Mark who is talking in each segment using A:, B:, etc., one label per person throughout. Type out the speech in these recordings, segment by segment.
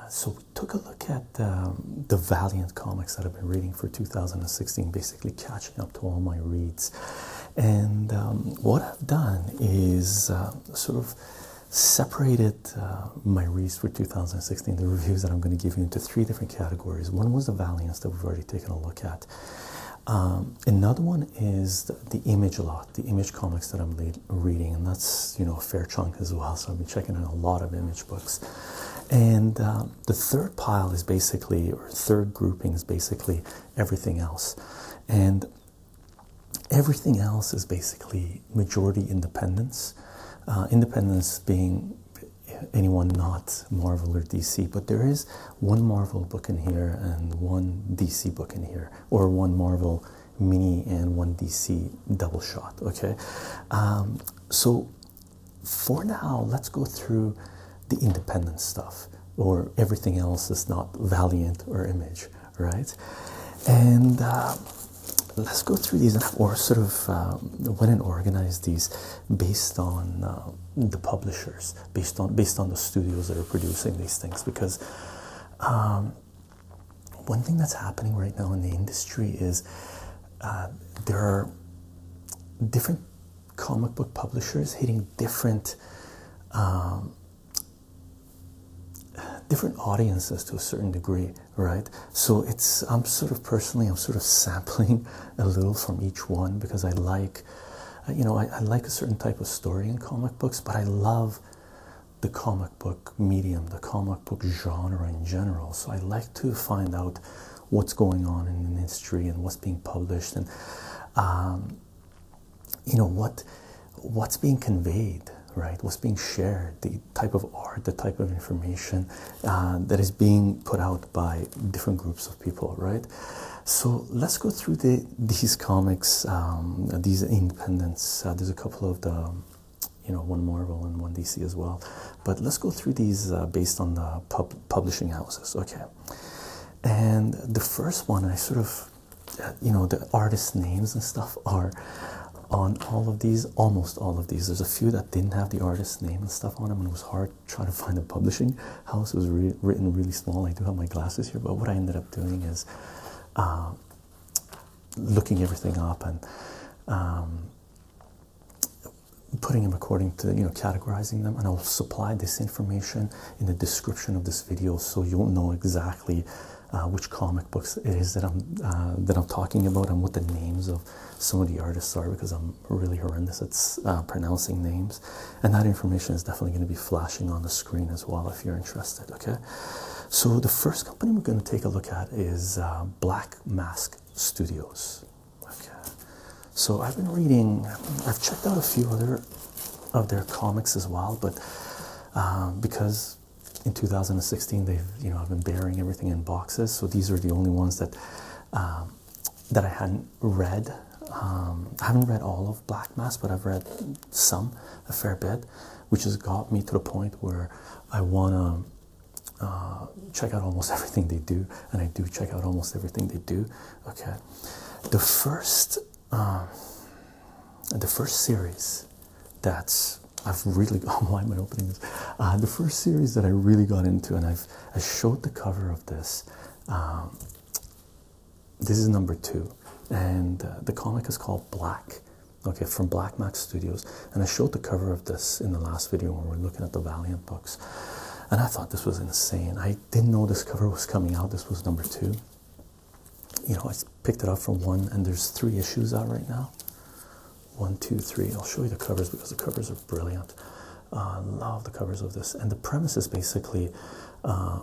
A: Uh, so we took a look at um, the Valiant comics that I've been reading for 2016, basically catching up to all my reads. And um, what I've done is uh, sort of separated uh, my reads for 2016, the reviews that I'm going to give you into three different categories. One was the Valiance that we've already taken a look at. Um, another one is the, image lot, the image comics that I'm reading, and that's you know a fair chunk as well. So I've been checking out a lot of image books, and um, the third pile is basically or third grouping is basically everything else, and everything else is basically majority independence, uh, independence being anyone not Marvel or DC, but there is one Marvel book in here and one DC book in here, or one Marvel mini and one DC double shot. Okay, um, so for now, let's go through the independent stuff or everything else is not Valiant or Image, right? And uh, let's go through these or sort of um, went and organized these based on um, the publishers, based on based on the studios that are producing these things. Because um, one thing that's happening right now in the industry is uh, there are different comic book publishers hitting different. Um, different audiences to a certain degree right? So it's I'm sort of personally I'm sort of sampling a little from each one because I like, you know, I, I like a certain type of story in comic books, but I love the comic book medium, the comic book genre in general. So I like to find out what's going on in the industry and what's being published and um, you know what what's being conveyed, right? What's being shared, type of art, the type of information uh, that is being put out by different groups of people, right? So let's go through the these comics, um, these independents. Uh, there's a couple of the, you know, one Marvel and one DC as well, but let's go through these uh, based on the publishing houses, okay? And the first one, I sort of, you know, the artist names and stuff are on all of these almost all of these. There's a few that didn't have the artist's name and stuff on them, and it was hard trying to find a publishing house. It was written really small. I do have my glasses here, but what I ended up doing is um, looking everything up and um, putting them according to, you know, categorizing them. And I'll supply this information in the description of this video so you'll know exactly. Uh, which comic books it is that I'm uh, that I'm talking about and what the names of some of the artists are because I'm really horrendous at uh, pronouncing names, and that information is definitely going to be flashing on the screen as well if you're interested. Okay, so the first company we're going to take a look at is uh, Black Mask Studios. Okay, so I've been reading, I've checked out a few other of their comics as well, but um, because in 2016 they've you know I've been burying everything in boxes, so these are the only ones that um, that I hadn't read. Um, I haven't read all of Black Mass, but I've read some, a fair bit, which has got me to the point where I want to. Uh, check out almost everything they do, and I do check out almost everything they do. Okay, the first, um, the first series that I've really gone oh, why opening this? Uh, the first series that I really got into, and I have i showed the cover of this. Um, this is number two, and uh, the comic is called Black. Okay, from Black Max Studios, and I showed the cover of this in the last video when we we're looking at the Valiant books, and I thought this was insane. I didn't know this cover was coming out. This was number two. You know, I picked it up from one, and there's three issues out right now one, two, three. I'll show you the covers because the covers are brilliant. Uh, I uh, love the covers of this, and the premise is basically uh,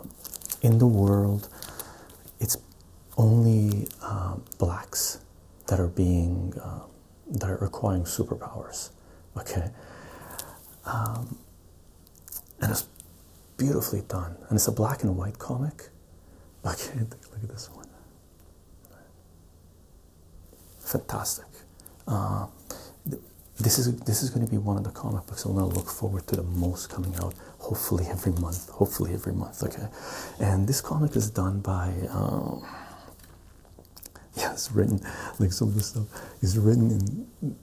A: in the world, it's only uh, blacks that are being that are acquiring superpowers. Okay, um, and it's beautifully done, and it's a black and white comic. Okay, look at this one. Fantastic. Uh, this is this is going to be one of the comic books I'm going to look forward to the most coming out. Hopefully every month. Hopefully every month. Okay, and this comic is done by. Um, yes, it's written like some of the stuff is written in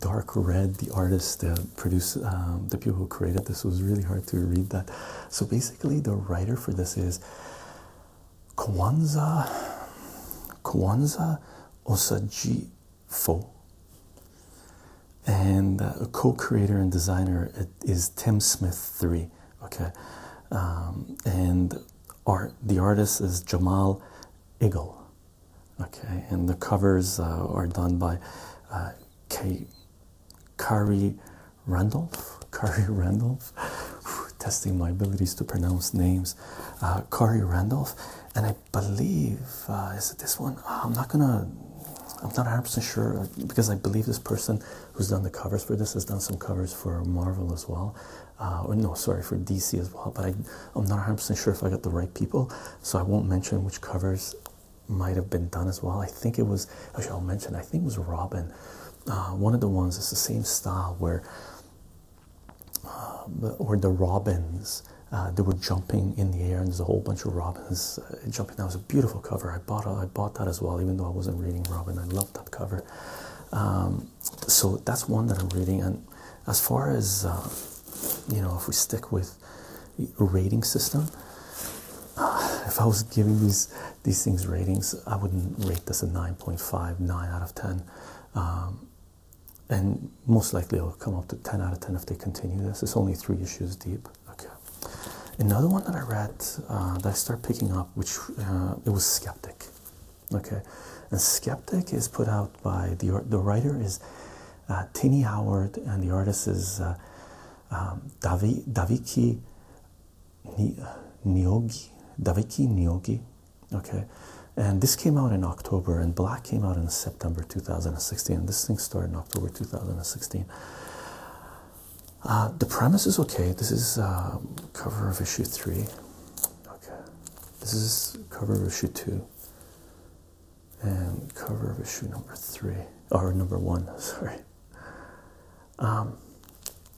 A: dark red. The artist that uh, the people who created this was really hard to read that. So basically, the writer for this is Kwanzaa, Kwanzaa Osajifo. And uh, a co-creator and designer is Tim Smith Three, Okay, um, and art the artist is Jamal Igle. Okay, and the covers uh, are done by uh, Kari Randolph, Kari Randolph, testing my abilities to pronounce names. Uh, Randolph, and I believe uh, is it this one? Uh, I'm not gonna. I'm not 100% sure uh, because I believe this person who's done the covers for this has done some covers for Marvel as well. or no, sorry, for DC as well. But I, I'm not 100% sure if I got the right people, so I won't mention which covers might have been done as well. I think it was, I'll mention, I think it was Robin uh, one of the ones is the same style where or uh, the robins uh, they were jumping in the air and there's a whole bunch of robins jumping that was a beautiful cover I bought I bought that as well even though I wasn't reading Robin I loved that cover um, so that's one that I'm reading and as far as you know if we stick with rating system if I was giving these these things ratings i wouldn't rate this a 9.5 out of 10 um, and most likely it'll come up to 10 out of 10 if they continue this it's only three issues deep okay another one that i read uh, that i started picking up which uh, it was skeptic okay and skeptic is put out by the the writer is uh, Tini Howard and the artist is uh, um, Davi Daviki Nyogi, Daviki Nyogi. Okay, and this came out in October, and Black came out in September 2016. This thing started in October 2016. Uh, the premise is okay. This is um, cover of issue three. Okay, this is cover of issue two, and cover of issue number three or number one. Sorry. Um,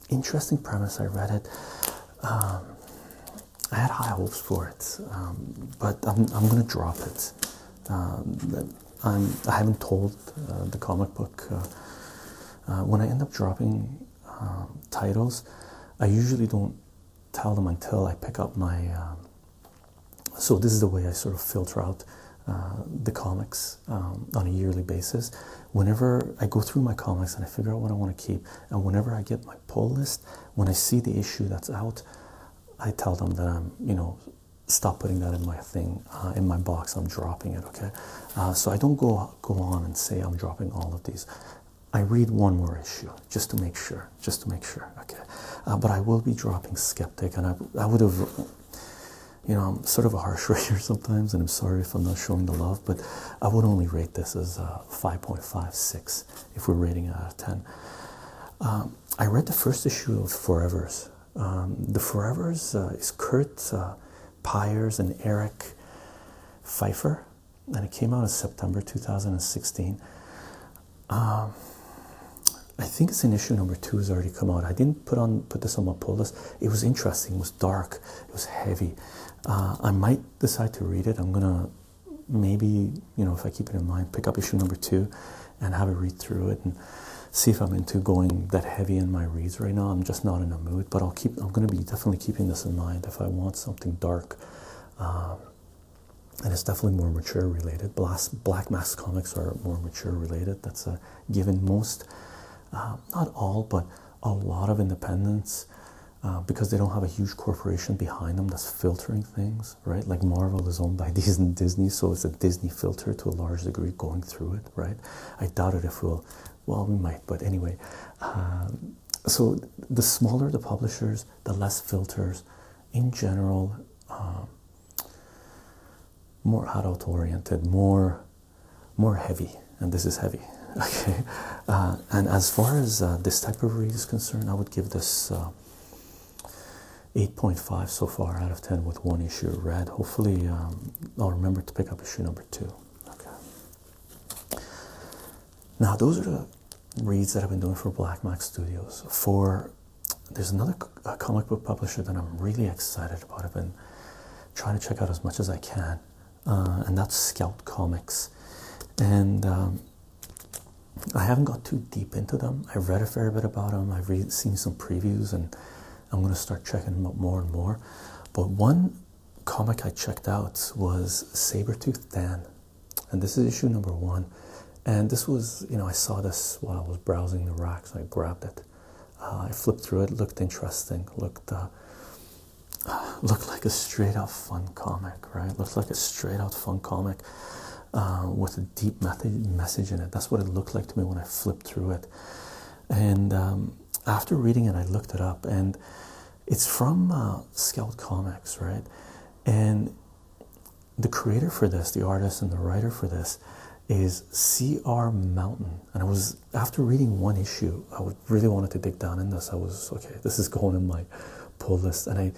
A: interesting premise. I read it. Um, I had high hopes for it, um, but I'm I'm gonna drop it. I haven't told uh, the comic book. Uh, uh, when I end up dropping titles, I usually don't tell them until I pick up my. so this is the way I sort of filter out the comics um, on a yearly basis. Whenever I go through my comics and I figure out what I want to keep, and whenever I get my pull list, when I see the issue that's out, I tell them that I'm, you know, stop putting that in my thing, uh, in my box. I'm dropping it. Okay, uh, so I don't go go on and say I'm dropping all of these. I read one more issue just to make sure, just to make sure. Okay, uh, but I will be dropping Skeptic, and I I would have you know, I'm sort of a harsh writer sometimes, and I'm sorry if I'm not showing the love but I would only rate this as uh, 5.56 if we're rating out of 10. Um, I read the first issue of Forevers. Um, the Forevers uh, is Kurt uh, Pyers and Eric Pfeiffer, and it came out in September 2016. Um, I think it's in issue number two has already come out. I didn't put on put this on my pull list. It was interesting. It was dark. It was heavy. Uh, I might decide to read it. I'm gonna maybe you know if I keep it in mind, pick up issue number two, and have a read through it and see if I'm into going that heavy in my reads right now. I'm just not in a mood, but I'll keep. I'm gonna be definitely keeping this in mind if I want something dark. Um, and it's definitely more mature related. Black Mass comics are more mature related. That's given. Most, uh, not all, but a lot of independence, uh, because they don't have a huge corporation behind them that's filtering things, right? Like Marvel is owned by Disney, so it's a Disney filter to a large degree going through it, right? I doubt it if we'll, well, we might, but anyway. Um, so the smaller the publishers, the less filters in general, um, more adult oriented, more more heavy, and this is heavy. Okay, uh, and as far as uh, this type of read is concerned, I would give this uh, 8.5 so far out of 10 with one issue read. Hopefully, um, I'll remember to pick up issue number two. Okay, now those are the reads that I've been doing for Black Mac Studios. For there's another comic book publisher that I'm really excited about. I've been trying to check out as much as I can. Uh, and that's Scout Comics. And um, I haven't got too deep into them. I've read a fair bit about them. I've seen some previews, and I'm going to start checking them out more and more. But one comic I checked out was Saber Sabretooth Dan, and this is issue number one. And this was, you know, I saw this while I was browsing the racks. I grabbed it. Uh, I flipped through it. Looked interesting. Looked uh, looked like a straight out fun comic, right? Looked like a straight out fun comic uh, with a deep message in it. That's what it looked like to me when I flipped through it. And um, after reading it, I looked it up, and it's from uh, Scout Comics, right? And the creator for this, the artist and the writer for this, is C.R. Mountain, and I was after reading one issue, I really wanted to dig down in this. I was okay, this is going in my pull list, and I,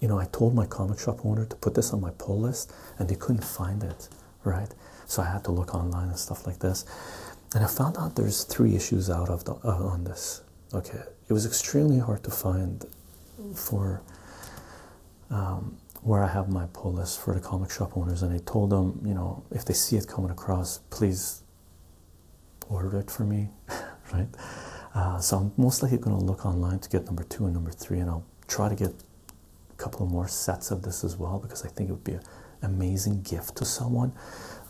A: you know, I told my comic shop owner to put this on my pull list, and they couldn't find it, right? So I had to look online and stuff like this, and I found out there's three issues out of the, uh, on this. Okay, it was extremely hard to find for um, where I have my pull list for the comic shop owners, and I told them, you know, if they see it coming across, please order it for me, right? Uh, so I'm most likely going to look online to get number two and number three, and I'll try to get a couple more sets of this as well because I think it would be an amazing gift to someone.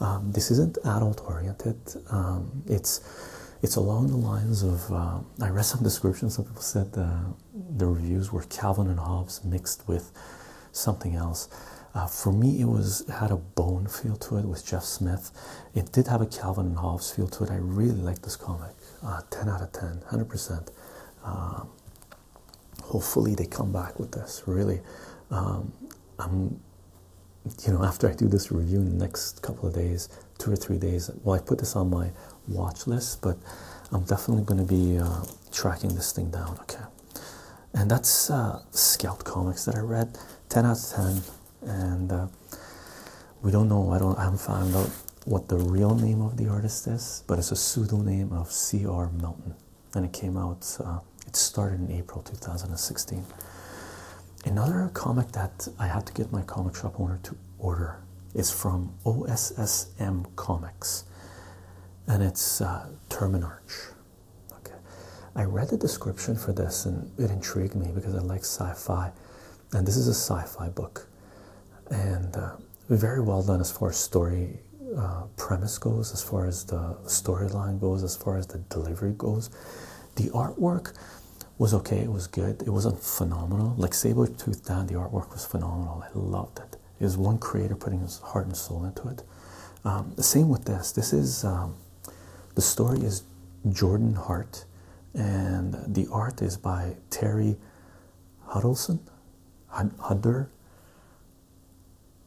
A: Um, this isn't adult oriented. Um, it's it's along the lines of uh, I read some descriptions. Some people said uh, the reviews were Calvin and Hobbes mixed with something else. Uh, for me, it was had a bone feel to it with Jeff Smith. It did have a Calvin and Hobbes feel to it. I really like this comic. Uh, 10 out of 10, 100%. Um, hopefully, they come back with this. Really, um, I'm, you know, after I do this review in the next couple of days, two or three days, well, I put this on my watch list, but I'm definitely going to be uh, tracking this thing down. Okay, and that's uh, Scout Comics that I read. Ten out of ten, and uh, we don't know. I don't. I haven't found out what the real name of the artist is, but it's a pseudonym of C.R. Melton, and it came out. Uh, it started in April 2016. Another comic that I had to get my comic shop owner to order is from OSSM Comics, and it's uh, Terminarch. Okay, I read the description for this and it intrigued me because I like sci fi, and this is a sci fi book, and uh, very well done as far as story uh, premise goes, as far as the storyline goes, as far as the delivery goes. The artwork was okay, it was good, it wasn't phenomenal. Like Saber Tooth Dan, the artwork was phenomenal, I loved it is one creator putting his heart and soul into it. Um, the same with this. This is um, the story is Jordan Hart, and the art is by Terry Huddleston. Hudder.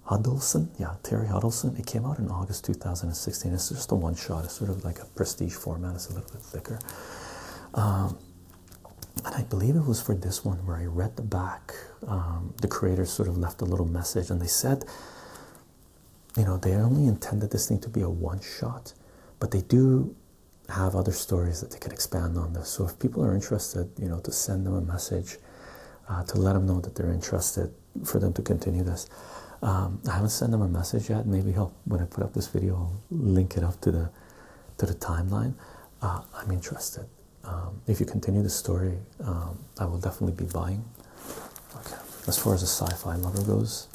A: Huddleston, yeah, Terry Huddleston. It came out in August 2016. It's just a one shot. It's sort of like a prestige format. It's a little bit thicker. Um, and I believe it was for this one where I read the back um, the creators sort of left a little message and they said, you know, they only intended this thing to be a one shot, but they do have other stories that they can expand on this. So if people are interested, you know, to send them a message uh, to let them know that they're interested for them to continue this. Um, I haven't sent them a message yet. Maybe when I put up this video, I'll link it up to the to the timeline. Uh, I'm interested. Um, if you continue the story, um, I will definitely be buying. Okay, as far as a sci-fi lover goes,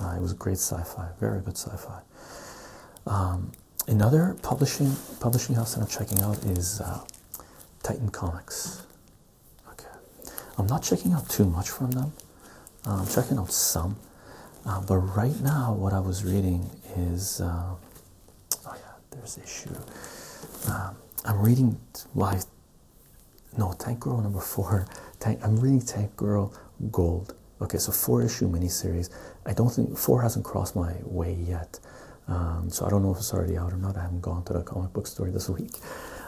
A: uh, it was great sci-fi, very good sci-fi. Um, another publishing publishing house that I'm checking out is uh, Titan Comics. Okay, I'm not checking out too much from them. Uh, I'm checking out some, but right now what I was reading is. Oh there's issue. Um, I'm reading why. No, Tank Girl number four. Tank, I'm reading Tank Girl Gold. Okay, so four issue miniseries. I don't think four hasn't crossed my way yet. Um, so I don't know if it's already out or not. I haven't gone to the comic book store this week,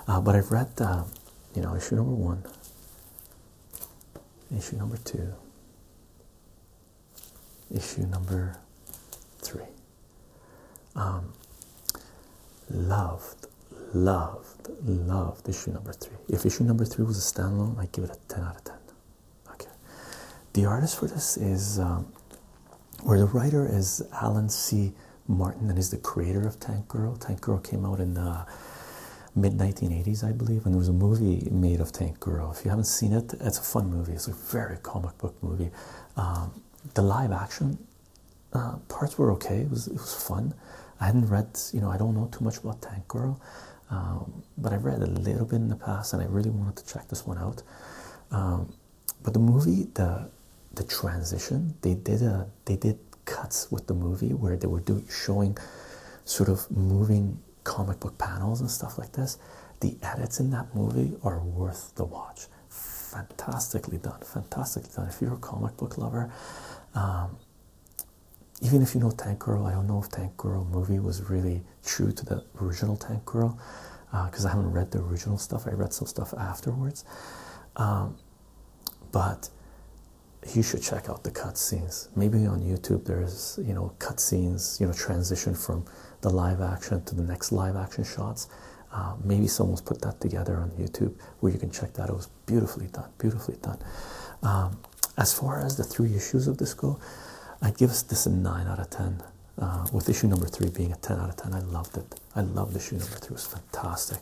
A: uh, but I've read, uh, you know, issue number one, issue number two, issue number three. Um, loved, loved, loved issue number three. If issue number three was a standalone, I'd give it a 10 out of 10. Okay. The artist for this is, um, or the writer is Alan C. Martin and he's the creator of Tank Girl. Tank Girl came out in the mid 1980s, I believe, and there was a movie made of Tank Girl. If you haven't seen it, it's a fun movie. It's a very comic book movie. Um, the live action uh, parts were okay. It was it was fun. I hadn't read, you know, I don't know too much about Tank Girl, um, but I read a little bit in the past, and I really wanted to check this one out. Um, but the movie, the the transition, they did a they did cuts with the movie where they were doing showing sort of moving comic book panels and stuff like this. The edits in that movie are worth the watch fantastically done fantastically done if you're a comic book lover um, even if you know tank girl i don't know if tank girl movie was really true to the original tank girl because uh, i haven't read the original stuff i read some stuff afterwards um, but you should check out the cutscenes maybe on youtube there's you know cutscenes you know transition from the live action to the next live action shots. Uh, maybe someone's put that together on YouTube where you can check that. It was beautifully done, beautifully done. Um, as far as the three issues of this go, i give this a 9 out of 10, uh, with issue number 3 being a 10 out of 10. I loved it. I loved issue number 3. It was fantastic.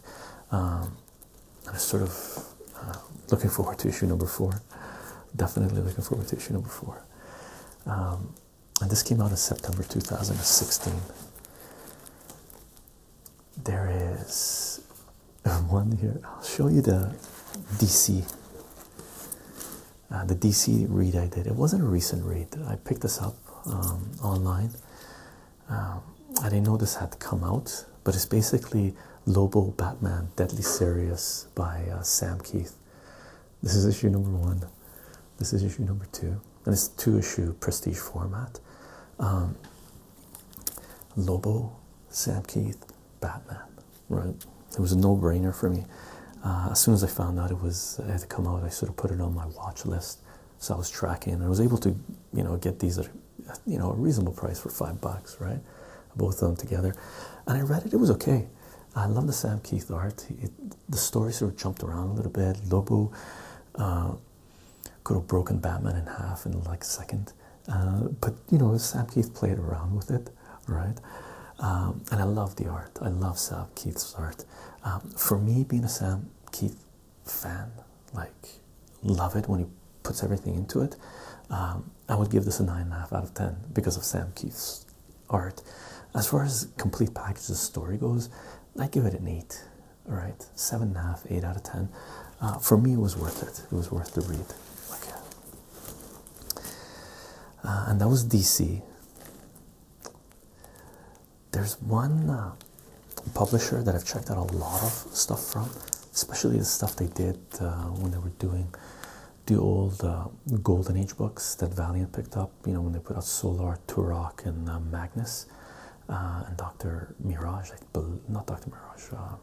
A: I'm um, sort of uh, looking forward to issue number 4. Definitely looking forward to issue number 4. Um, and this came out in September 2016. There is um, one here. I'll show you the DC, uh, the DC read I did. It wasn't a recent read. I picked this up um, online. Um, I didn't know this had come out, but it's basically Lobo Batman Deadly Serious by uh, Sam Keith. This is issue number one. This is issue number two, and it's two issue prestige format. Um, Lobo, Sam Keith, Batman, right? It was a no brainer for me. Uh, as soon as I found out it was it had to come out, I sort of put it on my watch list. So I was tracking, and I was able to, you know, get these at, you know, a reasonable price for five bucks, right? Both of them together, and I read it. It was okay. I love the Sam Keith art the story sort of jumped around a little bit. Lobo uh, could have broken Batman in half in like a second, uh, but you know, Sam Keith played around with it, right? Um, and I love the art, I love Sam Keith's art. Um, for me, being a Sam Keith fan, like, love it when he puts everything into it. Um, I would give this a nine and a half out of ten because of Sam Keith's art. As far as complete packages story goes, I give it an eight. All right, seven and a half, eight out of ten. Uh, for me, it was worth it. It was worth the read. Okay, uh, and that was DC. There's one uh, publisher that I've checked out a lot of stuff from, especially the stuff they did when they were doing the old golden age books that Valiant picked up, you know, when they put out Solar, Turok, and uh, Magnus, uh, and Dr. Mirage, like, not Dr. Mirage, uh,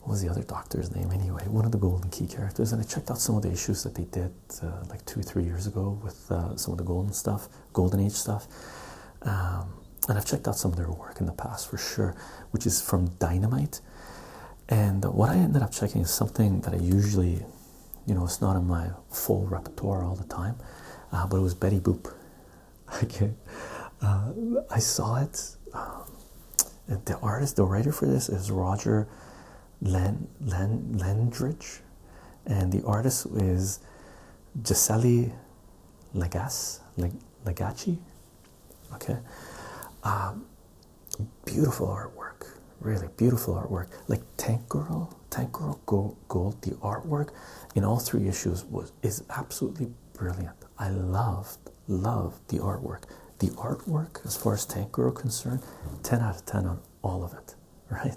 A: what was the other doctor's name anyway? One of the Golden Key characters, and I checked out some of the issues that they did like two, three years ago with some of the Golden stuff, Golden Age stuff. Um, and I've checked out some of their work in the past for sure, which is from Dynamite. And what I ended up checking is something that I usually you know, it's not in my full repertoire all the time, uh, but it was Betty Boop. Okay, uh, I saw it. Um, the artist, the writer for this is Roger Len, Len, Lendridge, and the artist is Gisele Lagasse, Leg, Okay, um, Beautiful artwork, really beautiful artwork. Like Tank Girl, Tank Girl Gold, the artwork in all three issues is absolutely brilliant. I loved, loved the artwork. The artwork, as far as Tank Girl concerned, 10 out of 10 on all of it, right?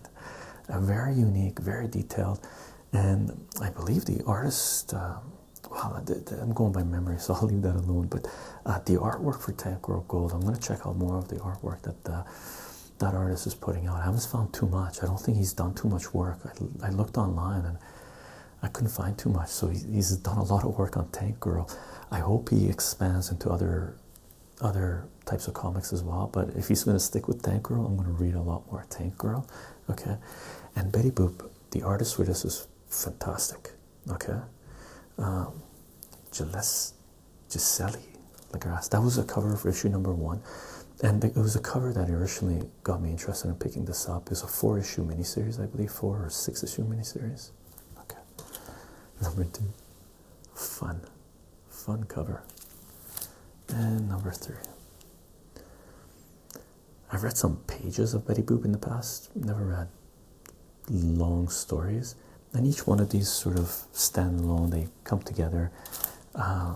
A: A very unique, very detailed, and I believe the artist. Uh, well, I'm going by memory, so I'll leave that alone. But uh, the artwork for Tank Girl Gold, I'm going to check out more of the artwork. that. Uh, that artist is putting out. I haven't found too much. I don't think he's done too much work. I, looked online and I couldn't find too much. So he's done a lot of work on Tank Girl. I hope he expands into other other types of comics as well. But if he's going to stick with Tank Girl, I'm going to read a lot more Tank Girl. Okay, and Betty Boop, the artist for this is fantastic. Okay, um, Giselli asked, That was a cover of issue number one, and it was a cover that originally got me interested in picking this up. It's a four issue miniseries, I believe, four or six issue miniseries. Okay, number two, fun, fun cover, and number three. I've read some pages of Betty Boop in the past, never read long stories and each one of these sort of stand alone, they come together. Um,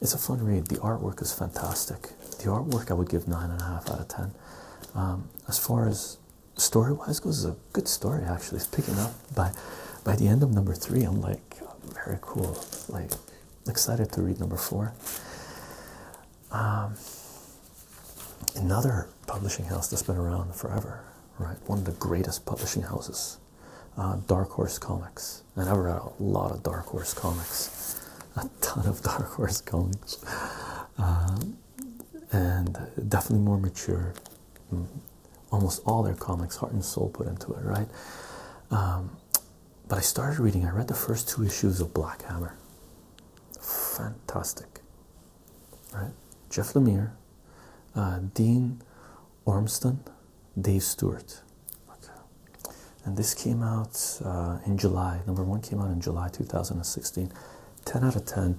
A: it's a fun read. The artwork is fantastic. The artwork I would give nine and a half out of ten. Um, as far as story wise goes, it's a good story actually. It's picking up by by the end of number three. I'm like very cool. Like excited to read number four. Um, another publishing house that's been around forever right? One of the greatest publishing houses, uh, Dark Horse Comics. And I've read a lot of Dark Horse Comics, a ton of Dark Horse Comics, um, and definitely more mature. Mm. Almost all their comics, heart and soul, put into it, right? Um, but I started reading. I read the first two issues of Black Hammer. Fantastic, Jeff Lemire, uh, Dean Ormston, Dave Stewart. Okay. And this came out uh, in July. Number one came out in July 2016. 10 out of 10.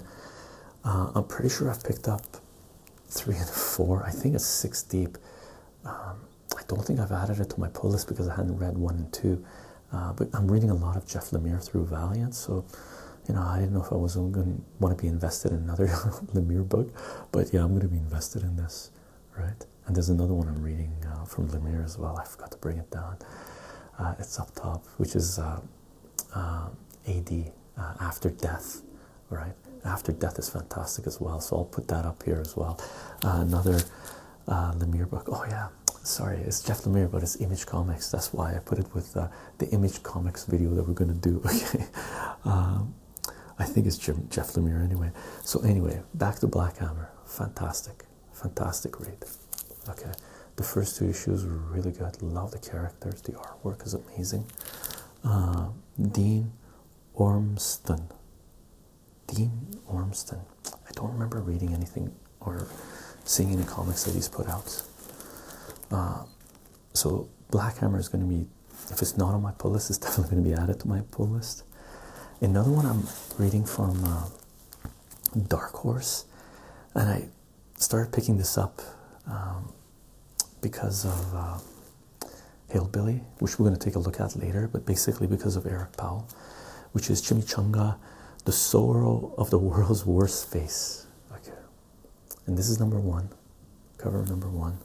A: Uh, I'm pretty sure I've picked up three and four. I think it's six deep. Um, I don't think I've added it to my pull list because I hadn't read one and two. but I'm reading a lot of Jeff Lemire through Valiant, so you know, I didn't know if I was going to want to be invested in another Lemire book, but yeah, I'm going to be invested in this, right? And there's another one I'm reading uh, from Lemire as well. I forgot to bring it down. Uh, it's up top, which is uh, AD After Death, right? After Death is fantastic as well, so I'll put that up here as well. another Lemire book. Oh yeah, sorry, it's Jeff Lemire, but it's Image Comics. That's why I put it with the Image Comics video that we're gonna do. Okay, um, I think it's Jeff Lemire anyway. So anyway, back to Black Hammer. Fantastic, fantastic read. Okay, the first two issues were really good. Love the characters. The artwork is amazing. Um, Dean Ormston. Dean Ormston. I don't remember reading anything or seeing any comics that he's put out. Um, so Black Hammer is going to be, if it's not on my pull list, it's definitely going to be added to my pull list. Another one I'm reading from uh, Dark Horse, and I started picking this up um, because of uh, Hillbilly, which we're going to take a look at later, but basically because of Eric Powell, which is Chimichanga, the sorrow of the world's worst face. Okay, and this is number one cover number one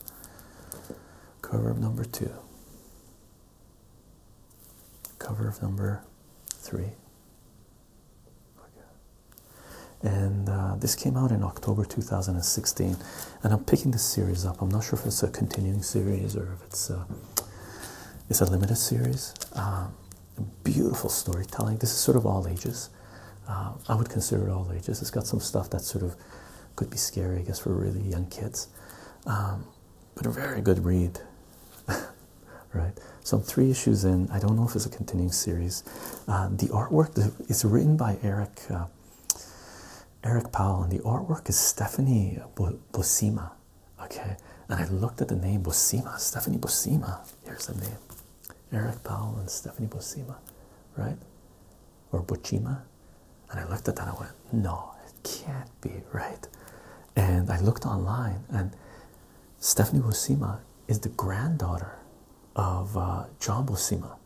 A: cover number two cover of number three and uh, this came out in October 2016 and I'm picking this series up I'm not sure if it's a continuing series or if it's a, uh, it's a limited series uh, beautiful storytelling this is sort of all ages uh, I would consider it all ages. It's got some stuff that sort of could be scary, I guess, for really young kids. Um, but a very good read, right? So three issues in. I don't know if it's a continuing series. Uh, the artwork is written by Eric uh, Eric Powell, and the artwork is Stephanie Bosima. Okay, and I looked at the name Bosima. Stephanie Bosima. Here's the name. Eric Powell and Stephanie Buscema, right? Or Buchima. And I looked at that and I went, no, it can't be right. And I looked online and Stephanie Buscema is the granddaughter of uh, John Buscema.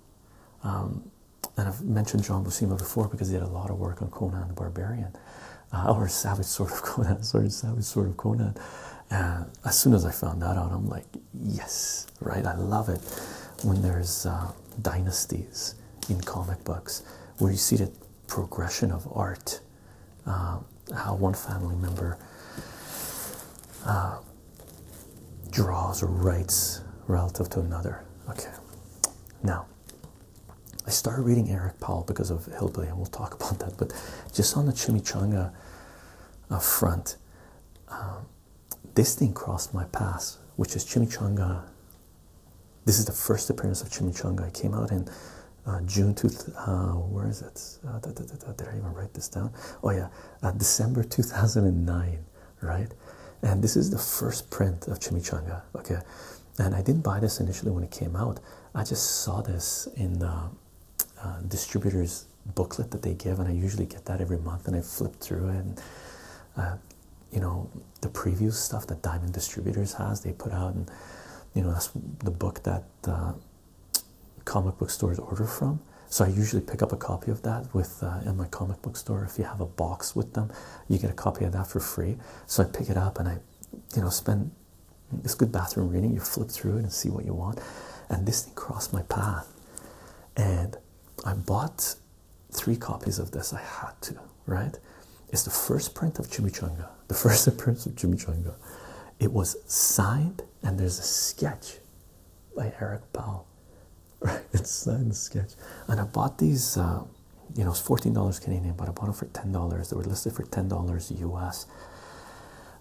A: Um, and I've mentioned John Buscema before because he did a lot of work on Conan the Barbarian, uh, or Savage sort of Conan, sorry, Savage Sword of Conan. And as soon as I found that out, I'm like, yes right i love it when there's uh, dynasties in comic books where you see the progression of art uh, how one family member uh, draws or writes relative to another okay now i started reading eric powell because of hillbilly and we'll talk about that but just on the chimichanga uh, front um, this thing crossed my path, which is Chimichanga. This is the first appearance of Chimichanga. I came out in uh, June two. Uh, where is it? Uh, did I even write this down? Oh yeah, December two thousand and nine. Right, and this is the first print of Chimichanga. Okay, and I didn't buy this initially when it came out. I just saw this in distributors booklet that they give, and I usually get that every month, and I flip through it. And uh, you know, the preview stuff that Diamond Distributors has, they put out, and you know, that's the book that uh, comic book stores order from. So I usually pick up a copy of that with uh, in my comic book store. If you have a box with them, you get a copy of that for free. So I pick it up and I, you know, spend. this good bathroom reading. You flip through it and see what you want, and this thing crossed my path and I bought three copies of this. I had to, right? It's the first print of Chimichanga, the first appearance of Chimichanga. It was signed, and there's a sketch by Eric Powell, right? It's signed sketch, and I bought these. Um, you know, it's fourteen dollars Canadian, but I bought them for ten dollars. They were listed for ten dollars US,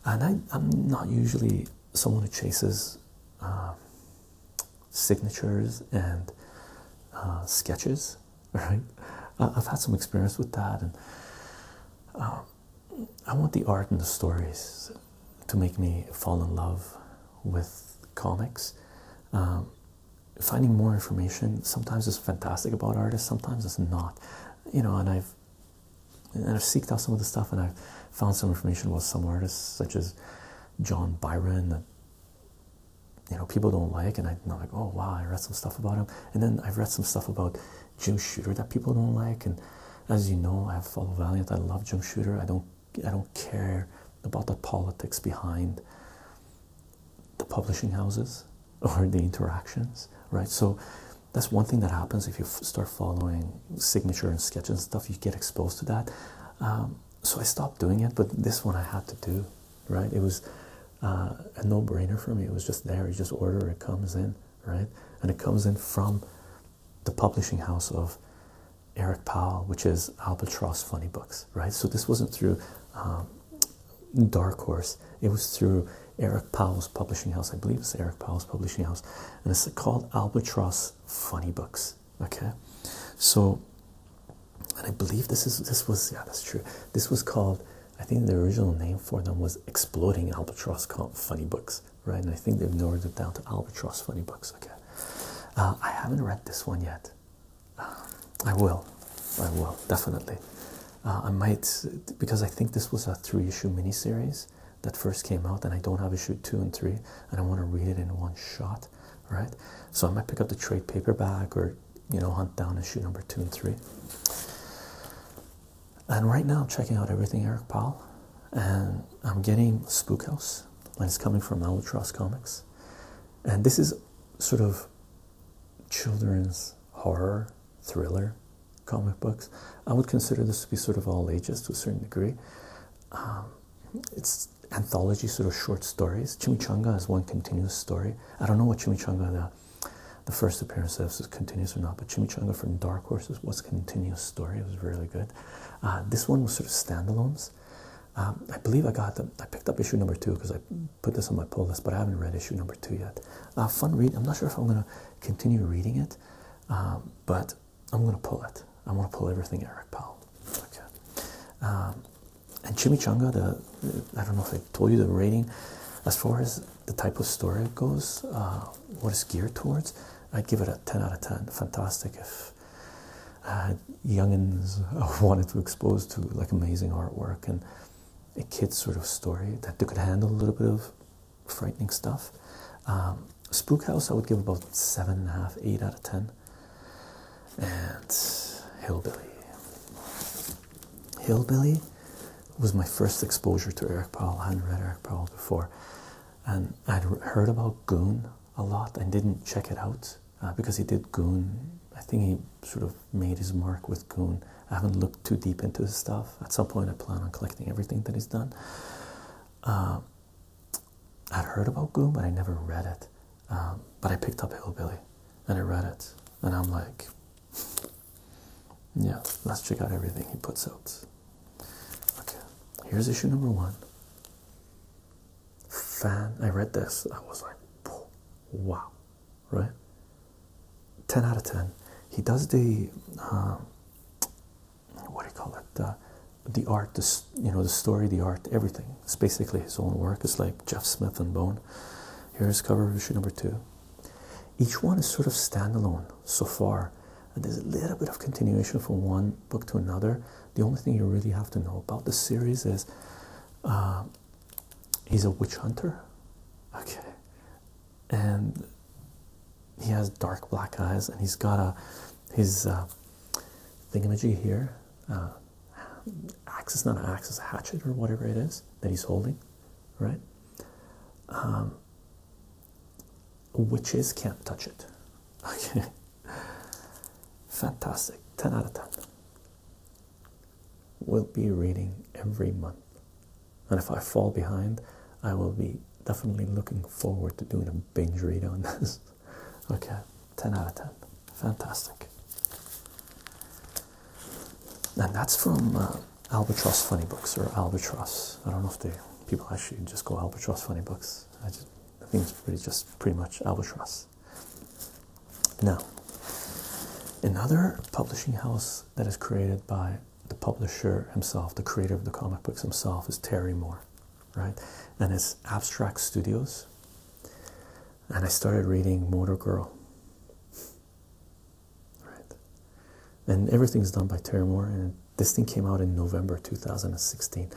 A: and I'm not usually someone who chases um, signatures and uh, sketches, right? I've had some experience with that, and um, I want the art and the stories to make me fall in love with comics. Um, finding more information sometimes is fantastic about artists, sometimes it's not, you know. And I've and I've seeked out some of the stuff and I've found some information about some artists such as John Byron that you know people don't like and I'm like oh wow I read some stuff about him and then I've read some stuff about Jim Shooter that people don't like and as you know I follow Valiant I love Jim Shooter I don't I don't care about the politics behind the publishing houses or the interactions right so that's one thing that happens if you start following signature and sketch and stuff, you get exposed to that. Um, so I stopped doing it, but this one I had to do, right? It was uh, a no brainer for me. It was just there. You just order, it comes in, right? And it comes in from the publishing house of Eric Powell, which is Albatross Funny Books, right? So this wasn't through um, Dark Horse, it was through Eric Powell's publishing house. I believe it's Eric Powell's publishing house and it's called Albatross Funny Books. Okay, so and I believe this is this was yeah that's true. This was called I think the original name for them was Exploding Albatross Funny Books, right? And I think they've narrowed it down to Albatross Funny Books. Okay, uh, I haven't read this one yet. Um, I will, I will definitely. Uh, I might because I think this was a three issue miniseries that first came out, and I don't have issue two and three, and I want to read it in one shot, right? So I might pick up the trade paperback or you know hunt down issue number two and three. And right now I'm checking out everything Eric Powell, and I'm getting Spook House, and it's coming from Albatross Comics, and this is sort of children's horror thriller comic books. I would consider this to be sort of all ages to a certain degree. Um, it's anthology sort of short stories. Chimichanga is one continuous story. I don't know what Chimichanga the the first appearance of is continuous or not, but Chimichanga from Dark Horses was continuous story. It was really good. Uh, this one was sort of standalones. Um, I believe I got them. I picked up issue number two because I put this on my pull list, but I haven't read issue number two yet. Uh, fun read. I'm not sure if I'm going to continue reading it, um, but I'm gonna pull it. I am going to pull everything Eric Powell. Okay. Um, and Chimichanga, the I don't know if I told you the rating, as far as the type of story goes, uh, what it's geared towards, I'd give it a 10 out of 10. Fantastic if uh, youngins wanted to expose to like amazing artwork and a kid's sort of story that they could handle a little bit of frightening stuff. Um, Spook House, I would give about seven and a half, eight out of ten. And Hillbilly. Hillbilly was my first exposure to Eric Paul. I hadn't read Eric Paul before, and I'd heard about Goon a lot. and didn't check it out uh, because he did Goon. I think he sort of made his mark with Goon. I haven't looked too deep into his stuff. At some point, I plan on collecting everything that he's done. Um, I'd heard about Goon, but I never read it. Um, but I picked up Hillbilly and I read it, and I'm like, yeah, let's check out everything he puts out. Okay, here's issue number one. Fan, I read this, I was like, wow, right? 10 out of 10. He does the um, what do you call it? the art, the, you know, the story, the art, everything. It's basically his own work. It's like Jeff Smith and Bone. Here's cover of issue number two. Each one is sort of standalone so far. And there's a little bit of continuation from one book to another. The only thing you really have to know about the series is uh, he's a witch hunter. Okay and he has dark black eyes, and he's got a his uh, thingamajig here, uh, axe, not an axe, a hatchet or whatever it is that he's holding, right? Um, witches can't touch it. Okay, fantastic. Ten out of ten. We'll be reading every month, and if I fall behind, I will be definitely looking forward to doing a binge read on this. okay, 10 out of 10. Fantastic. And that's from uh, Albatross Funny Books or Albatross. I don't know if they people actually just go Albatross Funny Books. I just I think it's pretty just pretty much Albatross. Now, another publishing house that is created by the publisher himself, the creator of the comic books himself, is Terry Moore, right? And it's Abstract Studios. And I started reading Motor Girl. Right. And everything's done by Terry Moore. And this thing came out in November 2016.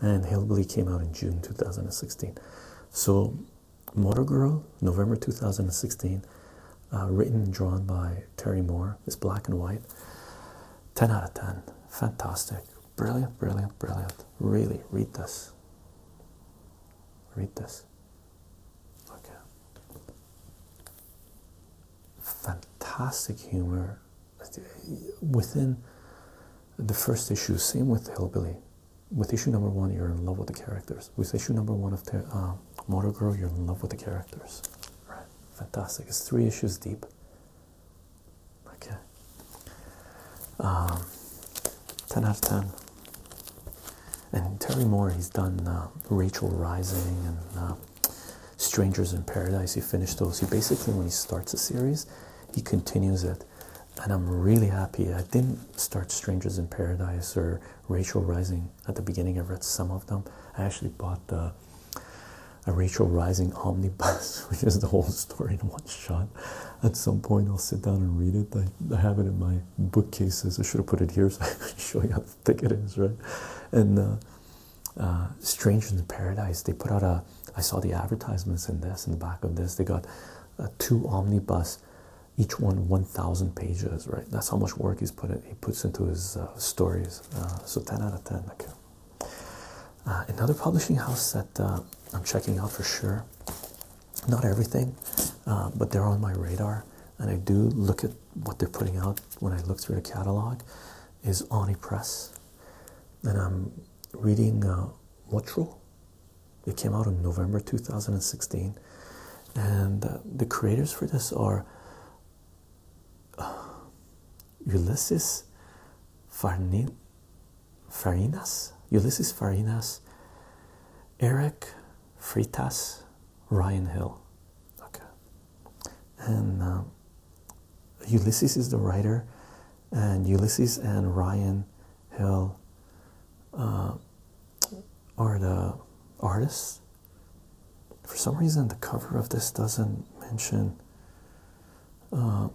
A: And Hillbilly came out in June 2016. So Motor Girl, November 2016, uh, written and drawn by Terry Moore. It's black and white. 10 out of 10. Fantastic. Brilliant, brilliant, brilliant. Really, read this. Read this. Okay. Fantastic humor within the first issue. Same with Hillbilly. With issue number one, you're in love with the characters. With issue number one of the, uh, Motor Girl, you're in love with the characters. Right. Fantastic. It's three issues deep. Okay. Um, 10 out of 10. And Terry Moore, he's done uh, Rachel Rising and uh, Strangers in Paradise. He finished those. He basically, when he starts a series, he continues it. And I'm really happy I didn't start Strangers in Paradise or Rachel Rising at the beginning. I read some of them. I actually bought the uh, a, Rachel Rising omnibus, which is the whole story in one shot. At some point, I'll sit down and read it. I, have it in my bookcases. I should have put it here so I could show you how thick it is, right? And uh, uh, Strange in Paradise, they put out a. I saw the advertisements in this, in the back of this. They got two omnibus, each one 1,000 pages, right? That's how much work he's put in, he puts into his uh, stories. Uh, so 10 out of 10. Okay. Uh, another publishing house that uh, I'm checking out for sure. Not everything, uh, but they're on my radar, and I do look at what they're putting out when I look through the catalog. Is Oni Press, and I'm reading Motro. It came out in November 2016, and the creators for this are Ulysses Farinas, Ulysses Farinas, Eric Fritas, Ryan Hill. Okay, and um, Ulysses is the writer, and Ulysses and Ryan Hill uh, are the artists for some reason the cover of this doesn't mention uh,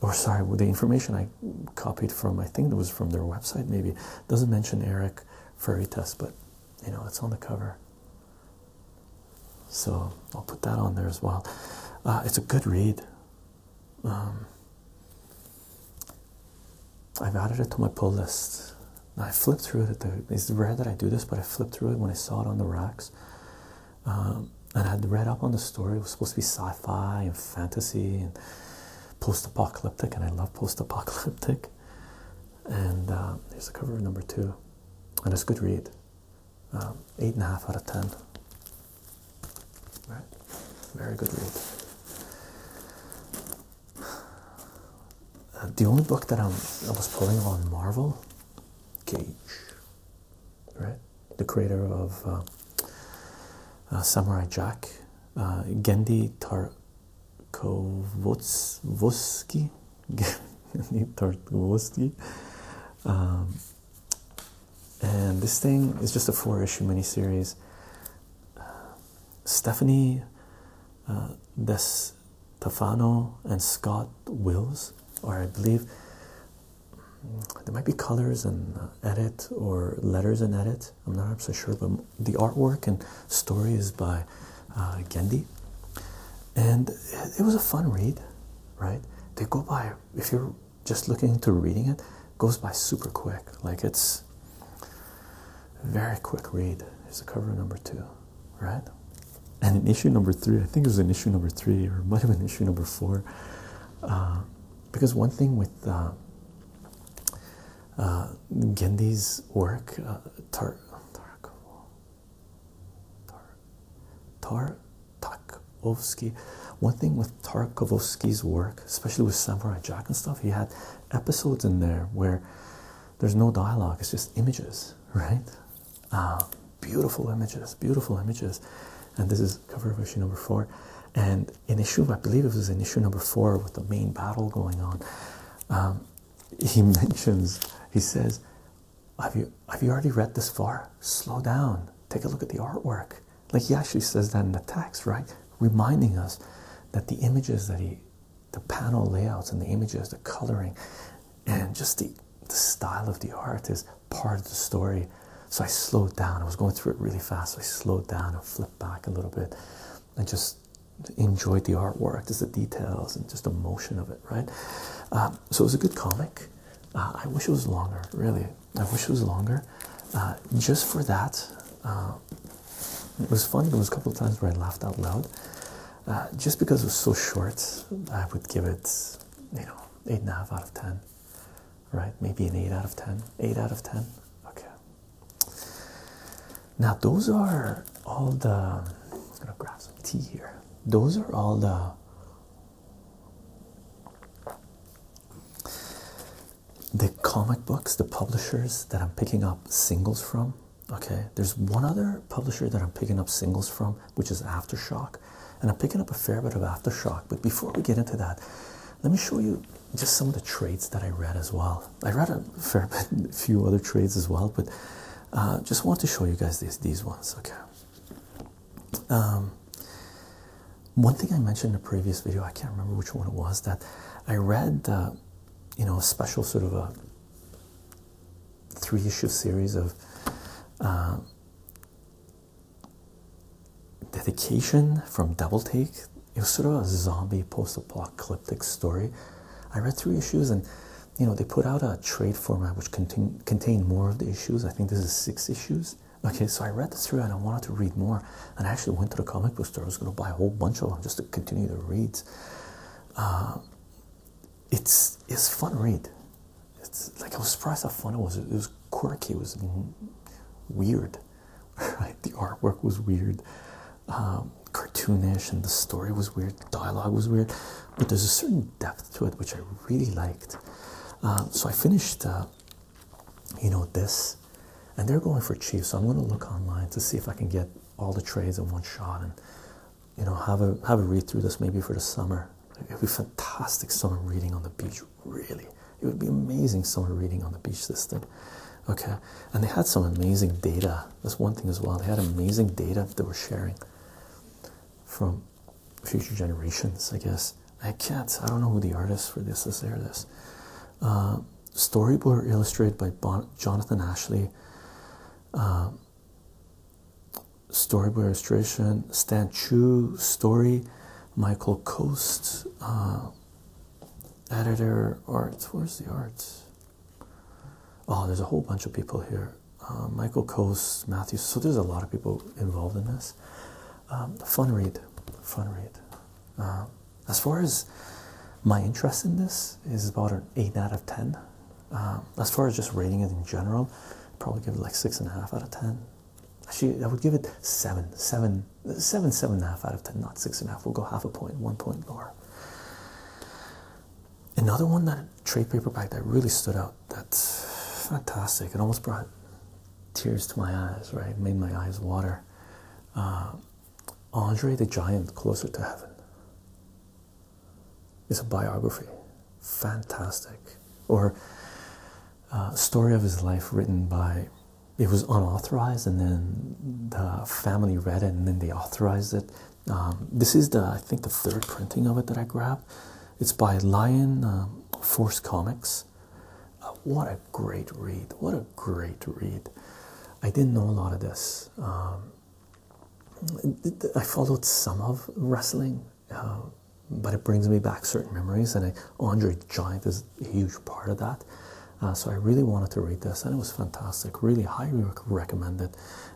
A: or sorry the information i copied from i think it was from their website maybe doesn't mention eric Faritas, but you know it's on the cover so i'll put that on there as well uh, it's a good read um, i've added it to my pull list I flipped through it. it's rare that I do this, but I flipped through it when I saw it on the racks. Um, and I had read up on the story. It was supposed to be sci fi and fantasy and post apocalyptic, and I love post apocalyptic. And uh, there's the cover of number two. And it's a good read. Um, eight and a half out of ten. Right. Very good read the only book that I'm I was pulling on Marvel, Cage, right? The creator of uh, uh, Samurai Jack, uh, Gendy Tarkovsky, Gendy Tarkovsky. Um, and this thing is just a four issue mini series. Stephanie uh, Des Tafano and Scott Wills, or I believe there might be colors and uh, edit or letters and edit. I'm not absolutely sure, but the artwork and story is by uh, Gendy, and it was a fun read, right? They go by if you're just looking into reading it, it goes by super quick. Like it's very quick read. Here's the cover number two right? And in issue number three, I think it was in issue number three, or it might have been issue number four, uh, because one thing with uh, uh, Gandhi's work, uh, Tar Tar Tarkovsky, one thing with Tarkovsky's work, especially with Samurai Jack and stuff, he had episodes in there where there's no dialogue, it's just images, right? Uh, beautiful images, beautiful images. And this is cover of issue number four. And in issue, I believe it was in issue number four with the main battle going on. Um, he mentions, he says, have you, have you already read this far? Slow down, take a look at the artwork. Like he actually says that in the text, right? Reminding us that the images that he the panel layouts and the images, the coloring, and just the, style of the art is part of the story. So I slowed down. I was going through it really fast. So I slowed down and flipped back a little bit and just enjoyed the artwork, just the details and just the motion of it, right? Um, so it was a good comic. Uh, I wish it was longer, really. I wish it was longer. Uh, just for that, uh, it was fun. There was a couple of times where I laughed out loud. Uh, just because it was so short, I would give it, you know, eight and a half out of ten, right? Maybe an eight out of ten. Eight out of ten. Okay. Now those are all the. I'm gonna grab some tea here. Those are all the. The comic books, the publishers that I'm picking up singles from Okay, there's one other publisher that I'm picking up singles from, which is Aftershock, and I'm picking up a fair bit of Aftershock. But before we get into that, let me show you just some of the trades that I read as well. I read a fair bit, a few other trades as well, but uh, just want to show you guys these these ones. Okay. Um, one thing I mentioned in a previous video, I can't remember which one it was, that I read, uh, you know, a special sort of a three issue series of um, dedication from Double Take. It was sort of a zombie post-apocalyptic story. I read three issues, and you know they put out a trade format which contain, contained more of the issues. I think this is six issues. Okay, so I read this through, and I wanted to read more. And I actually went to the comic book store. I was going to buy a whole bunch of them just to continue to read. Uh, it's it's fun read. It's like I was surprised how fun it was. It was quirky. It was weird. Right? The artwork was weird, um, cartoonish, and the story was weird. The dialogue was weird, but there's a certain depth to it which I really liked. Um, so I finished, uh, you know, this, and they're going for cheap. So I'm going to look online to see if I can get all the trades in one shot and you know, have a have a read through this maybe for the summer. It would be fantastic summer reading on the beach, really. It would be amazing summer reading on the beach this thing. Okay. And they had some amazing data. That's one thing as well. They had amazing data that were sharing from future generations, I guess. I can't, I don't know who the artist for this is there. This uh, storyboard illustrated by Jonathan Ashley. Uh, storyboard illustration, Stan Chu story, Michael Coast, uh, editor, art. Where's the art? Oh, there's a whole bunch of people here. Uh, Michael Coast, Matthews. So there's a lot of people involved in this. Um, fun read, fun read. Uh, as far as my interest in this is about an eight out of ten. Um, as far as just rating it in general, I'd probably give it like six and a half out of ten. Actually, I would give it seven, seven, seven, seven and a half out of ten, not six and a half. We'll go half a point, one point more. Another one that trade paperback that really stood out. That's fantastic. It almost brought tears to my eyes, right? It made my eyes water. Uh, Andre the Giant, Closer to Heaven. It's a biography. Fantastic. Or uh, story of his life written by it was unauthorized and then the family read it and then they authorized it um, this is the i think the third printing of it that i grabbed it's by lion um, force comics uh, what a great read what a great read i didn't know a lot of this um, I followed some of wrestling, uh, but it brings me back certain memories, and Andre the Giant is a huge part of that. Uh, so I really wanted to read this, and it was fantastic. Really highly recommended,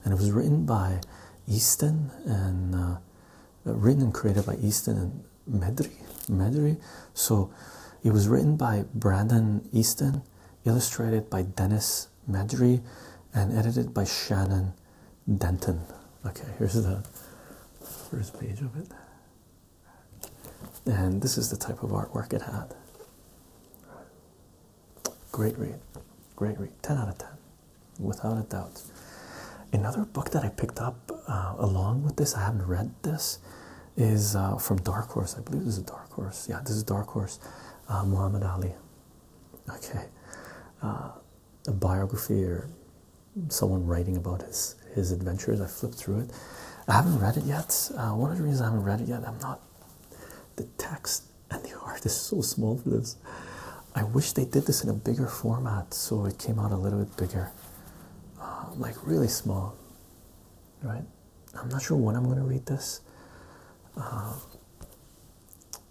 A: and it was written by Easton and uh, written and created by Easton and Medry. Medry. So it was written by Brandon Easton, illustrated by Dennis Medry, and edited by Shannon Denton. Okay, here's the first page of it. And this is the type of artwork it had. Great read, great read, 10 out of 10, without a doubt. Another book that I picked up uh, along with this, I haven't read this, is uh, from Dark Horse. I believe this is Dark Horse. Yeah, this is Dark Horse, uh, Muhammad Ali okay uh, a biography or someone writing about his his adventures i flipped through it i haven't read it yet uh, one of the reasons i haven't read it yet i'm not the text and the art is so small for this i wish they did this in a bigger format so it came out a little bit bigger uh, like really small right i'm not sure when i'm going to read this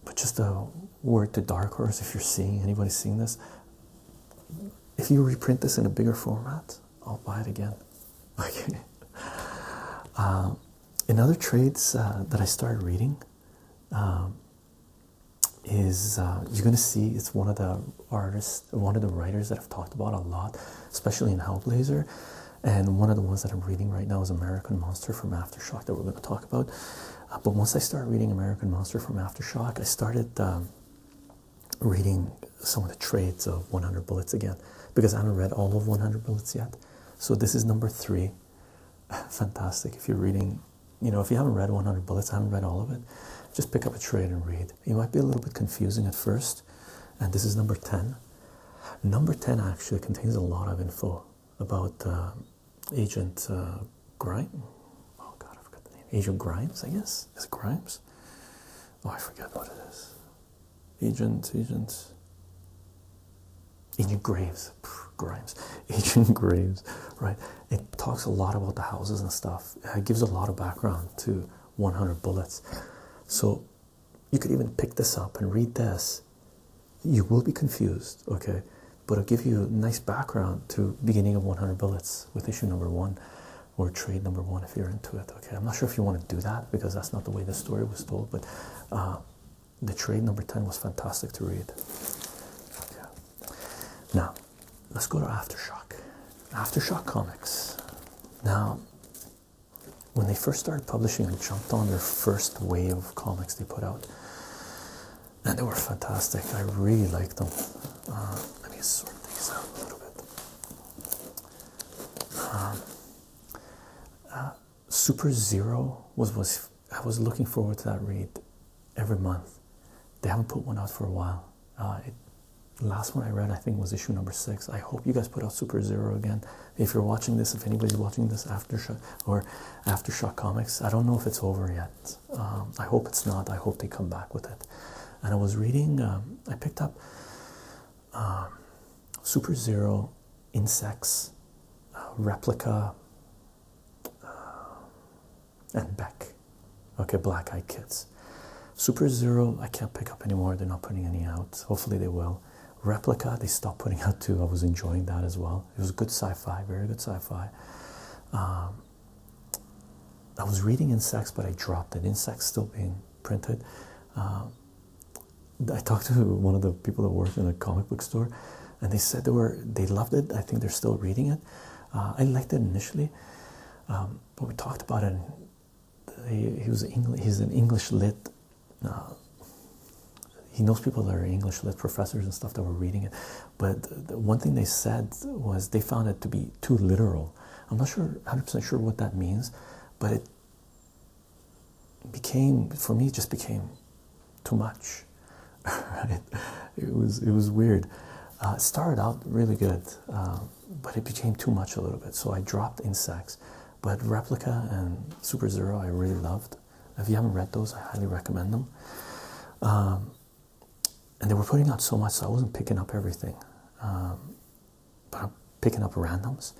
A: but just a word to Dark Horse if you're seeing anybody seeing this. If you reprint this in a bigger format, I'll buy it again. Okay. Um, in other trades uh, that I started reading, um, is uh, you're gonna see it's one of the artists, one of the writers that I've talked about a lot, especially in Hellblazer and one of the ones that I'm reading right now is American Monster from Aftershock that we're going to talk about. Uh, but once I started reading American Monster from Aftershock, I started um, reading some of the trades of 100 Bullets again because I haven't read all of 100 Bullets yet. So this is number three. Fantastic. If you're reading, you know, if you haven't read 100 Bullets, I haven't read all of it, just pick up a trade and read. It might be a little bit confusing at first. And this is number 10. Number 10 actually contains a lot of info about uh, Agent uh, Grimes. Oh God, I forgot the name. Agent Grimes, I guess. Is it Grimes? Oh, I forgot what it is. Agent, agents. Agent Graves, Grimes, Agent Graves, right? It talks a lot about the houses and stuff. Uh, it gives a lot of background to 100 Bullets. So you could even pick this up and read this you will be confused, okay? But I'll give you a nice background to beginning of 100 bullets with issue number one or trade number one if you're into it, okay? I'm not sure if you want to do that because that's not the way the story was told, but uh, the trade number 10 was fantastic to read. Okay. Now, let's go to Aftershock. Aftershock comics. Now, when they first started publishing, I jumped on their first wave of comics they put out, and they were fantastic. I really liked them. Uh, let me sort these out a little bit. Um, uh, Super Zero was was I was looking forward to that read every month. They haven't put one out for a while. Uh, last one I read, I think, was issue number six. I hope you guys put out Super Zero again if you're watching this, if anybody's watching this aftershock or aftershock comics, I don't know if it's over yet. Um, I hope it's not. I hope they come back with it. And I was reading. Um, I picked up um, Super Zero Insects uh, replica uh, and Beck. Okay, Black Eyed Kids. Super Zero. I can't pick up anymore. They're not putting any out. Hopefully they will. Replica. They stopped putting out too. I was enjoying that as well it was good sci-fi very good sci-fi um, I was reading insects but I dropped it insects still being printed um, I talked to one of the people that worked in a comic book store and they said they were they loved it I think they're still reading it uh, I liked it initially um, but we talked about it he was English he's an English lit uh, he knows people that are English lit professors and stuff that were reading it. But one thing they said was they found it to be too literal. I'm not sure, 100% sure what that means, but it became, for me, just became too much. right? It was, it was weird. Uh, started out really good, um, but it became too much a little bit. So I dropped insects, but Replica and Super Zero I really loved. If you haven't read those, I highly recommend them. Um, and they were putting out so much, so I wasn't picking up everything, um, but I'm picking up randoms.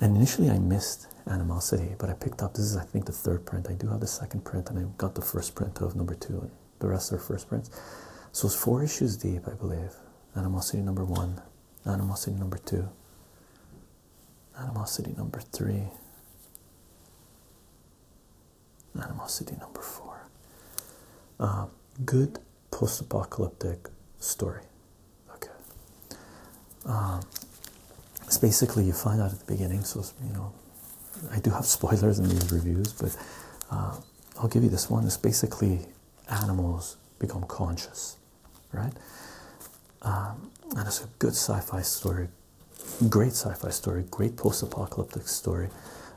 A: And initially, I missed Animosity, but I picked up this is, I think, the third print. I do have the second print, and I got the first print of number two, and the rest are first prints. So it's four issues deep, I believe. Animosity number one, Animosity number two, Animosity number three. Animosity number four. Uh, good post apocalyptic story. Okay. Um, it's basically you find out at the beginning, so you know, I do have spoilers in these reviews, but uh, I'll give you this one. It's basically animals become conscious right? Um, and it's a good sci-fi story, great sci-fi story, great post-apocalyptic story.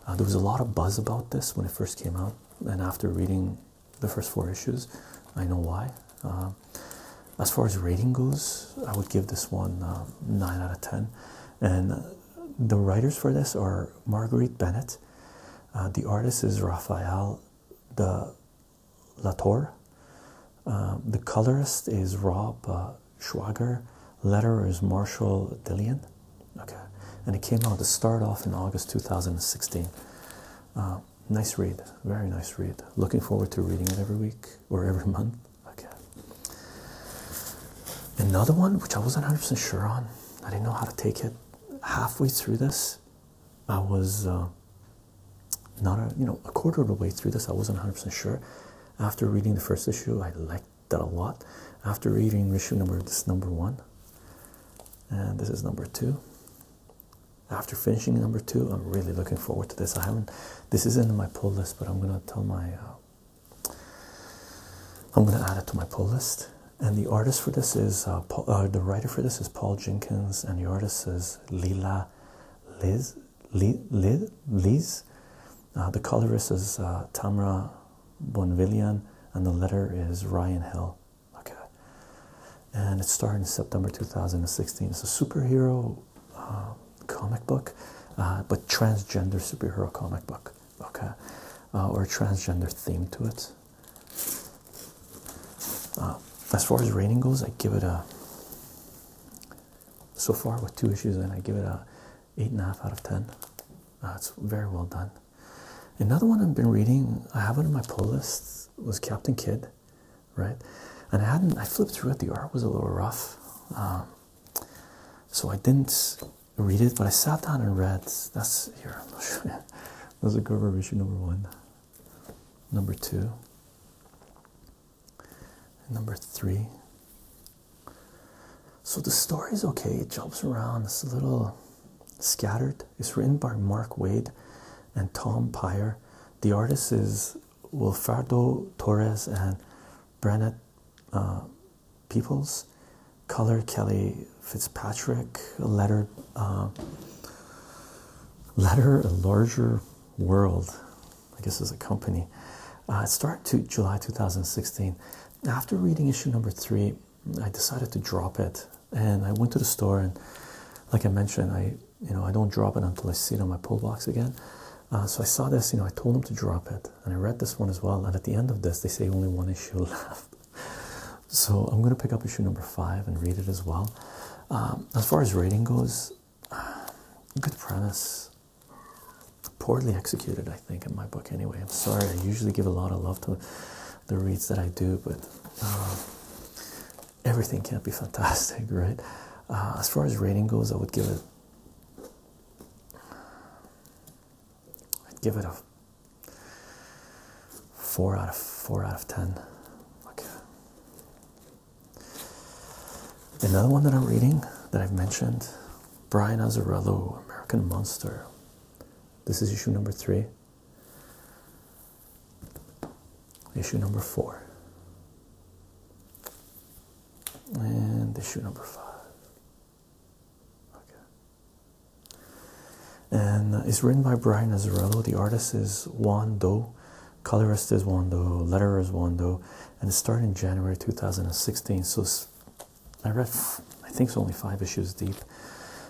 A: Uh, there was a lot of buzz about this when it first came out, and after reading the first four issues, I know why. Um, as far as rating goes, I would give this one um, nine out of ten, and the writers for this are Marguerite Bennett. Uh, the artist is Raphael. The Latour. Um, the colorist is Rob uh, Schwager. Letterer is Marshall Dillian. Okay, and it came out to start off in August 2016. Uh, nice read, very nice read. Looking forward to reading it every week or every month. Okay. Another one which I wasn't 100% sure on. I didn't know how to take it. Halfway through this, I was uh, not a, you know a quarter of the way through this. I wasn't 100% sure. After reading the first issue, I liked that a lot. After reading issue number this is number one, and this is number two. After finishing number two, I'm really looking forward to this. I haven't. This isn't in my pull list, but I'm gonna tell my. Uh, I'm gonna add it to my pull list. And the artist for this is uh, Paul, uh, the writer for this is Paul Jenkins, and the artist is Lila Liz Lees. Uh, the colorist is uh, Tamra Bonvillian, and the letter is Ryan Hill. Okay, and it started in September 2016. It's a superhero uh, comic book, but transgender superhero comic book. Okay, uh, or transgender theme to it. as far as rating goes, I give it a so far with two issues and I give it a eight and a half out of ten. That's uh, very well done. Another one I've been reading, I have it on my pull list, was Captain Kidd, right? And I hadn't, I flipped through it, the art was a little rough. Um, so I didn't read it, but I sat down and read. That's here, I'm not sure. That's the cover of number one. Number two. Number three. So the story is okay, it jumps around, it's a little scattered. It's written by Mark Wade and Tom Pyre. The artist is Wilfredo Torres and Brennet uh, Peoples. Color Kelly Fitzpatrick. Letter, uh, letter a larger world. I guess as a company. Uh, I started to July 2016. After reading issue number three, I decided to drop it, and I went to the store and, like I mentioned, I you know I don't drop it until I see it on my pull box again. Uh, so I saw this, you know, I told them to drop it, and I read this one as well. And at the end of this, they say only one issue left. So I'm going to pick up issue number five and read it as well. Um, as far as rating goes, good premise. Poorly executed, I think, in my book. Anyway, I'm sorry. I usually give a lot of love to the reads that I do, but um, everything can't be fantastic, right? Uh, as far as rating goes, I would give it. I'd give it a four out of four out of ten. Okay, Another one that I'm reading that I've mentioned Brian Azzarello, American Monster. This is issue number three. Issue number four. And issue number five. Okay. And uh, it's written by Brian Azzarello. The artist is Juan Doe colorist is one though, letterer is one though, and it started in January 2016. So I read, I think it's only five issues deep.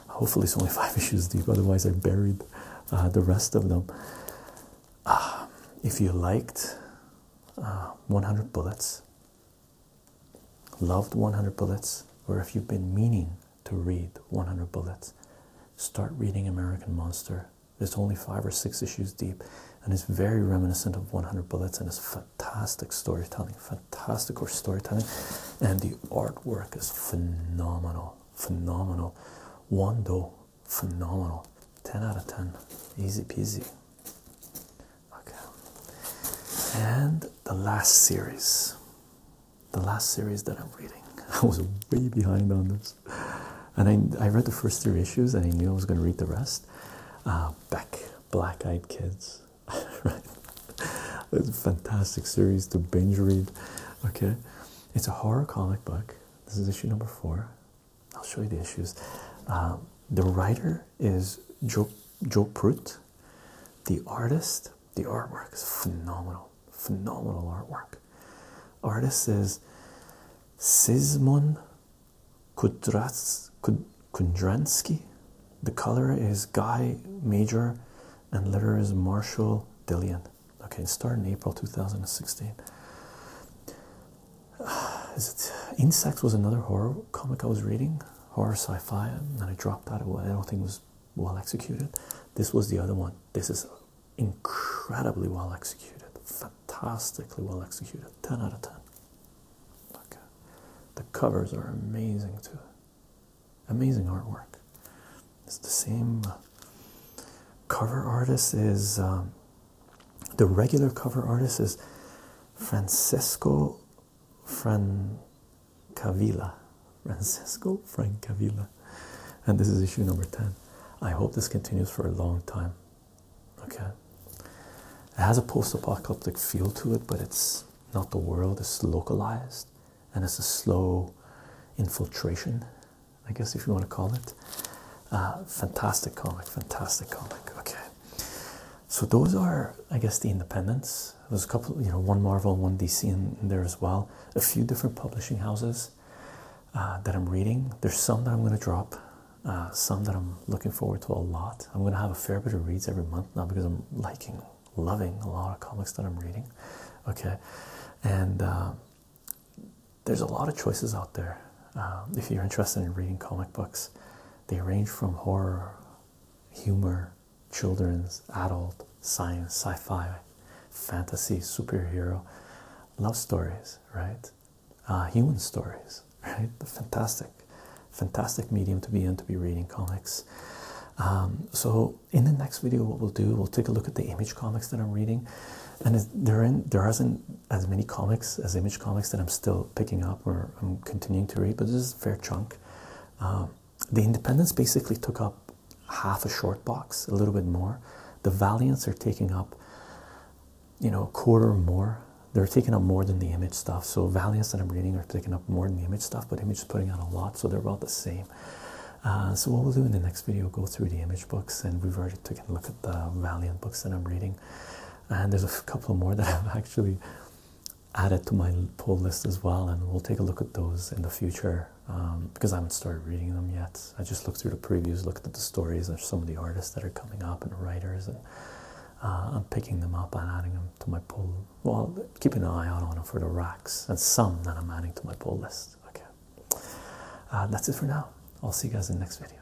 A: Hopefully, it's only five issues deep, otherwise, I buried uh, the rest of them. Ah, if you liked uh, 100 Bullets, loved 100 Bullets, or if you've been meaning to read 100 Bullets, start reading American Monster it's only five or six issues deep, and it's very reminiscent of 100 Bullets, and it's fantastic storytelling, fantastic or storytelling, and the artwork is phenomenal, phenomenal. Wando, phenomenal. 10 out of 10, easy peasy. Okay, and the last series, the last series that I'm reading. I was way behind on this. And I, I read the first three issues and I knew I was going to read the rest. Uh, Black Eyed Kids. right? It's a fantastic series to binge read. Okay. It's a horror comic book. This is issue number four. I'll show you the issues. Uh, the writer is Joe, Joe Prout. The artist, the artwork is phenomenal. Phenomenal artwork. Artist is Sismon Kudras, Kundransky. The color is Guy Major and letter is Marshall Dillion. Okay, started in April 2016. Is it Insects was another horror comic I was reading, horror sci-fi, and I dropped that. I don't think was well executed. This was the other one. This is incredibly well executed, fantastically well executed, 10 out of 10. Okay. The covers are amazing too. Amazing artwork. It's the same cover artist is um, the regular cover artist is Francesco Francavilla. Francesco Francavilla and this is issue number 10. I hope this continues for a long time. Okay, it has a post apocalyptic feel to it, but it's not the world, it's localized and it's a slow infiltration, I guess, if you want to call it. Uh, fantastic comic, fantastic comic. Okay, so those are, I guess, the independents. There's a couple, you know, one Marvel, one DC in there as well. A few different publishing houses. Uh, that I'm reading. There's some that I'm going to drop, uh, some that I'm looking forward to a lot. I'm going to have a fair bit of reads every month now because I'm liking, loving a lot of comics that I'm reading. Okay, and uh, there's a lot of choices out there. if you're interested in reading comic books, they range from horror, humor, children's, adult, science, sci fi, fantasy, superhero love stories, right? Uh, human stories, right? The Fantastic, fantastic medium to be in to be reading comics. Um, so in the next video, what we'll do, we'll take a look at the image comics that I'm reading, and there in there isn't as many comics as image comics that I'm still picking up or I'm continuing to read, but this is a fair chunk. Um, the Independents basically took up half a short box, a little bit more. The Valiants are taking up you know, a quarter more. They're taking up more than the image stuff. So Valiant that I'm reading are taking up more than the image stuff, but image is putting out a lot, so they're about the same. Uh, so what we'll do in the next video, go through the image books, and we've already taken a look at the Valiant books that I'm reading, and there's a couple more that I've actually added to my pull list as well, and we'll take a look at those in the future um, because I haven't started reading them yet. I just look through the previews, look at the stories of some of the artists that are coming up and writers, and uh, I'm picking them up and adding them to my pull. Well, keeping an eye on them for the racks, and some that I'm adding to my pull list. Okay, uh, that's it for now. I'll see you guys in the next video.